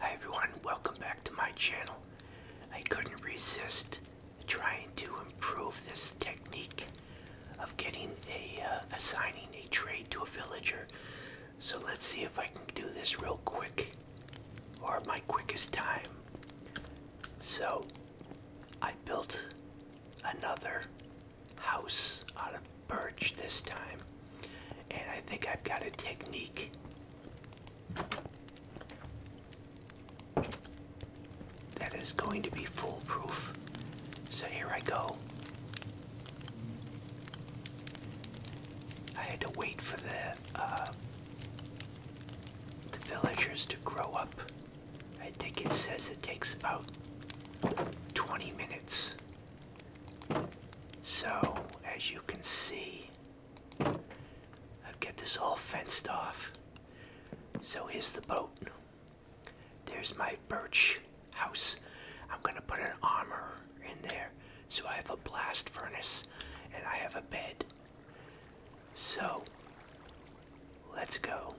Hi everyone, welcome back to my channel. I couldn't resist trying to improve this technique of getting a uh, assigning a trade to a villager. So let's see if I can do this real quick or my quickest time. So I built another house out of birch this time. And I think I've got a technique. That is going to be foolproof. So here I go. I had to wait for the uh, the villagers to grow up. I think it says it takes about 20 minutes so, as you can see, I've got this all fenced off. So here's the boat. There's my birch house. I'm gonna put an armor in there. So I have a blast furnace and I have a bed. So, let's go.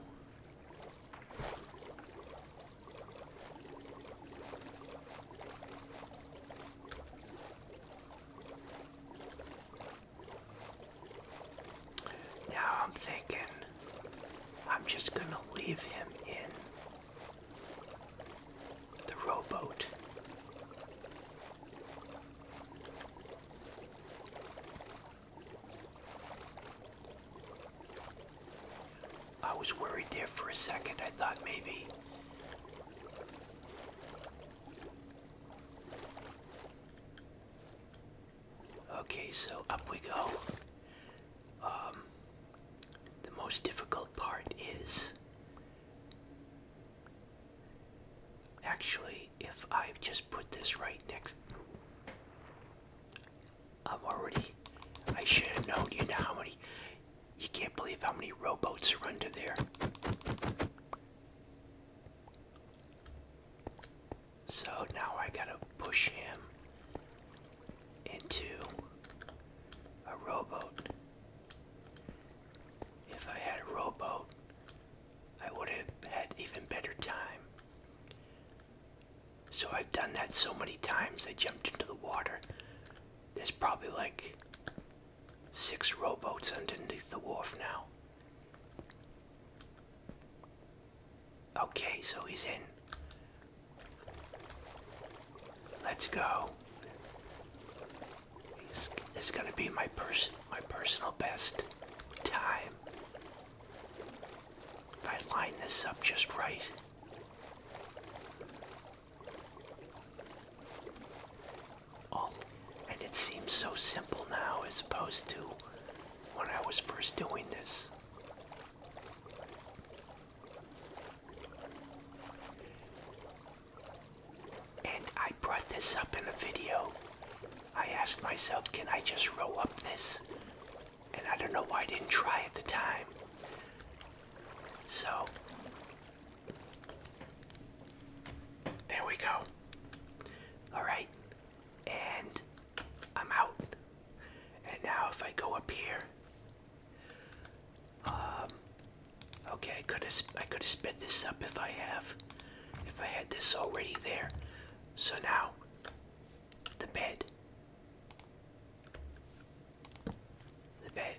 Now I'm thinking I'm just going to leave him in the rowboat. I was worried there for a second. I thought maybe. Okay, so up we go. Um, the most difficult part is actually if I just put this right next I'm already. I should have known. You know how many. You can't believe how many rowboats are under there. So now I gotta push him into a rowboat. If I had a rowboat, I would have had even better time. So I've done that so many times. I jumped into the water. There's probably like six rowboats underneath the wharf now. Okay, so he's in. Let's go. This, is gonna be my person, my personal best time. If I line this up just right. Oh, and it seems so simple now as opposed to when I was first doing this. And I brought this up in a video. I asked myself, can I just row up this and I don't know why I didn't try at the time. So, there we go. Alright, and I'm out. And now if I go up here, um, okay, I could have I could have sped this up if I have, if I had this already there. So now, the bed. The bed.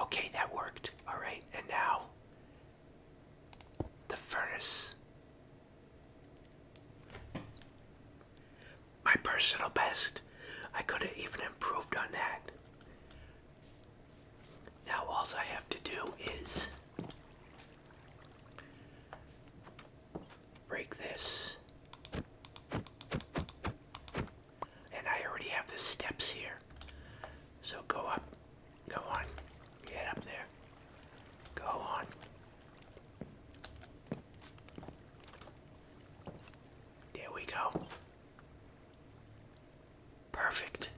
Okay, that worked. All right, and now the furnace. My personal best. I could have even improved on that. Now all I have to do is break this. And I already have the steps here. So go up. Go on. Get up there. Go on. There we go. Perfect.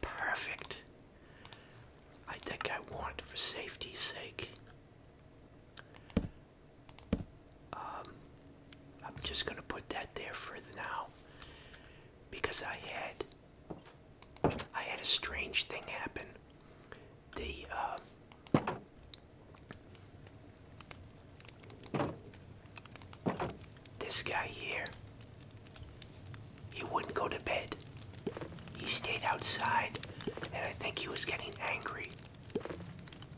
Perfect. I think I want, for safety's sake, um, I'm just going to put that there for now because I had I had a strange thing happen. The uh, this guy here, he wouldn't go to bed. He stayed outside, and I think he was getting angry.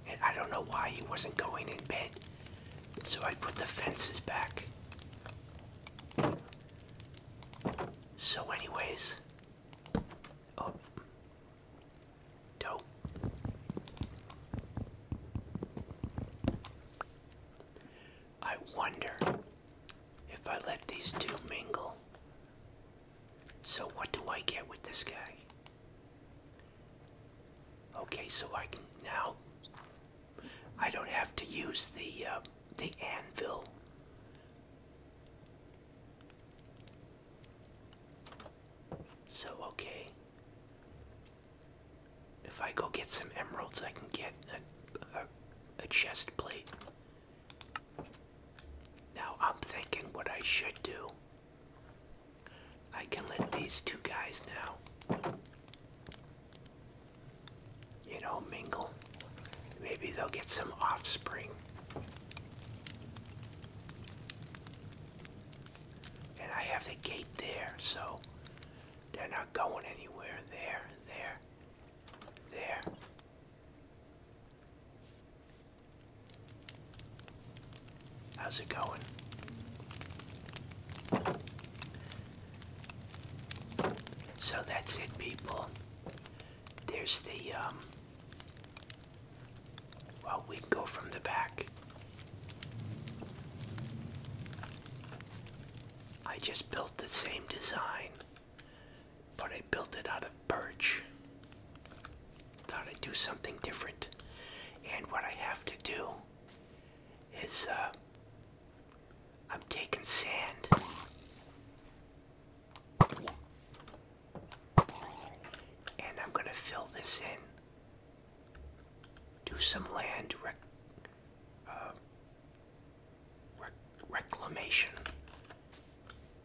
And I don't know why he wasn't going in bed. So I put the fences back. So anyways, oh, dope. I wonder if I let these two mingle. So, what do I get with this guy? Okay, so I can now. I don't have to use the uh, the anvil. So okay, if I go get some emeralds, I can get a, chest plate. Now I'm thinking what I should do. I can let these two guys now, you know, mingle. Maybe they'll get some offspring. And I have the gate there, so they're not going anywhere. There, there, there. How's it going? So that's it, people. There's the um, well, we go from the back. I just built the same design, but I built it out of birch. Thought I'd do something different. And what I have to do is uh, I'm taking sand and I'm going to fill this in. Do some land uh, reclamation.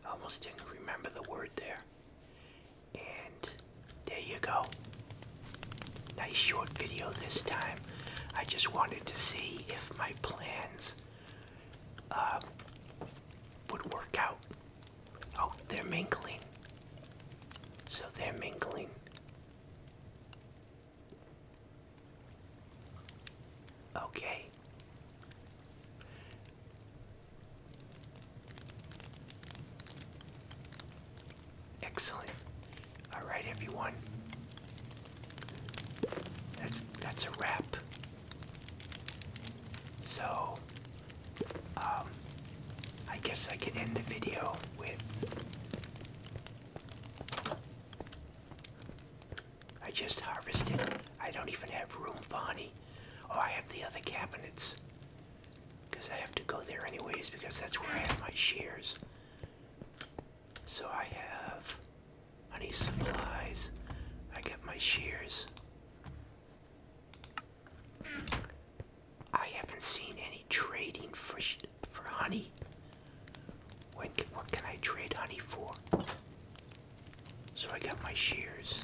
almost didn't remember the word there. And there you go. Nice short video this time. I just wanted to see if my plans uh, would work out. Oh, they're mingling. So they're mingling. Okay. Excellent. All right, everyone. That's that's a wrap. So, um, I guess I can end the video with. I just harvested. I don't even have room Bonnie. Oh, I have the other cabinets. Because I have to go there anyways, because that's where I have my shears. So I have honey supplies. I get my shears. I haven't seen any trading for for honey. What can, what can I trade honey for? So I got my shears.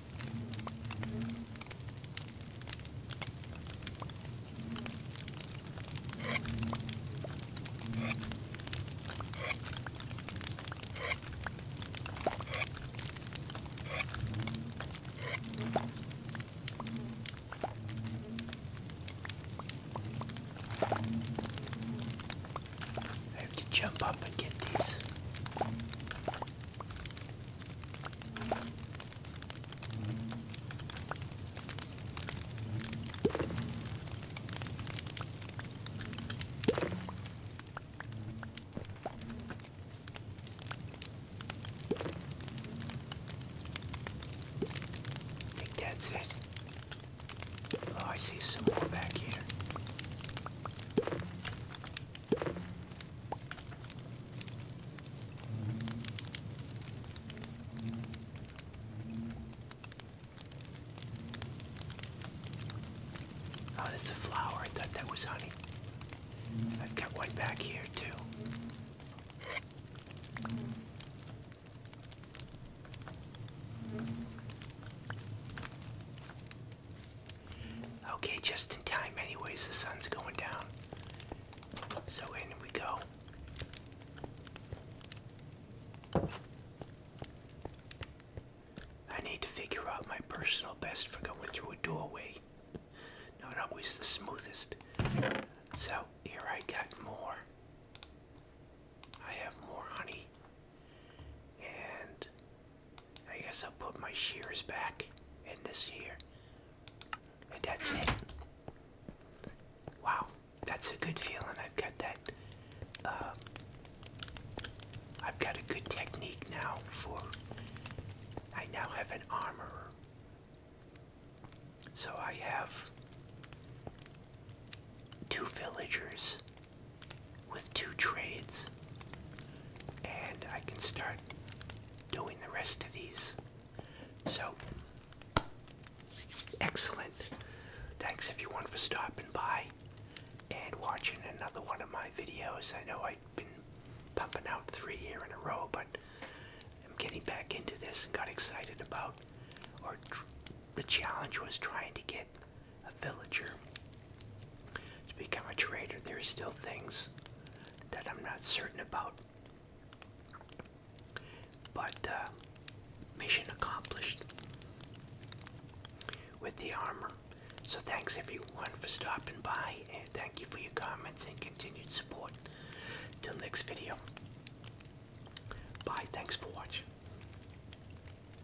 I have to jump up and get these. I think that's it. Oh, I see some more back here. Oh, that's a flower. I thought that was honey. I've got one back here, too. Okay, just in time anyways, the sun's going down. So in we go. I need to figure out my personal best for going through a doorway. Not always the smoothest. So here I got more. I have more honey. And I guess I'll put my shears back in this here. And that's it. Wow, that's a good feeling. I've got that. Um, I've got a good technique now for. I now have an armorer. So I have two villagers with two trades, and I can start doing the rest of these. So, excellent. Thanks everyone for stopping by and watching another one of my videos. I know I've been pumping out three here in a row, but I'm getting back into this and got excited about, or the challenge was trying to get a villager to become a trader. There's still things that I'm not certain about. But uh, mission accomplished with the armor. So thanks everyone for stopping by and thank you for your comments and continued support. Till next video. Bye. Thanks for watching.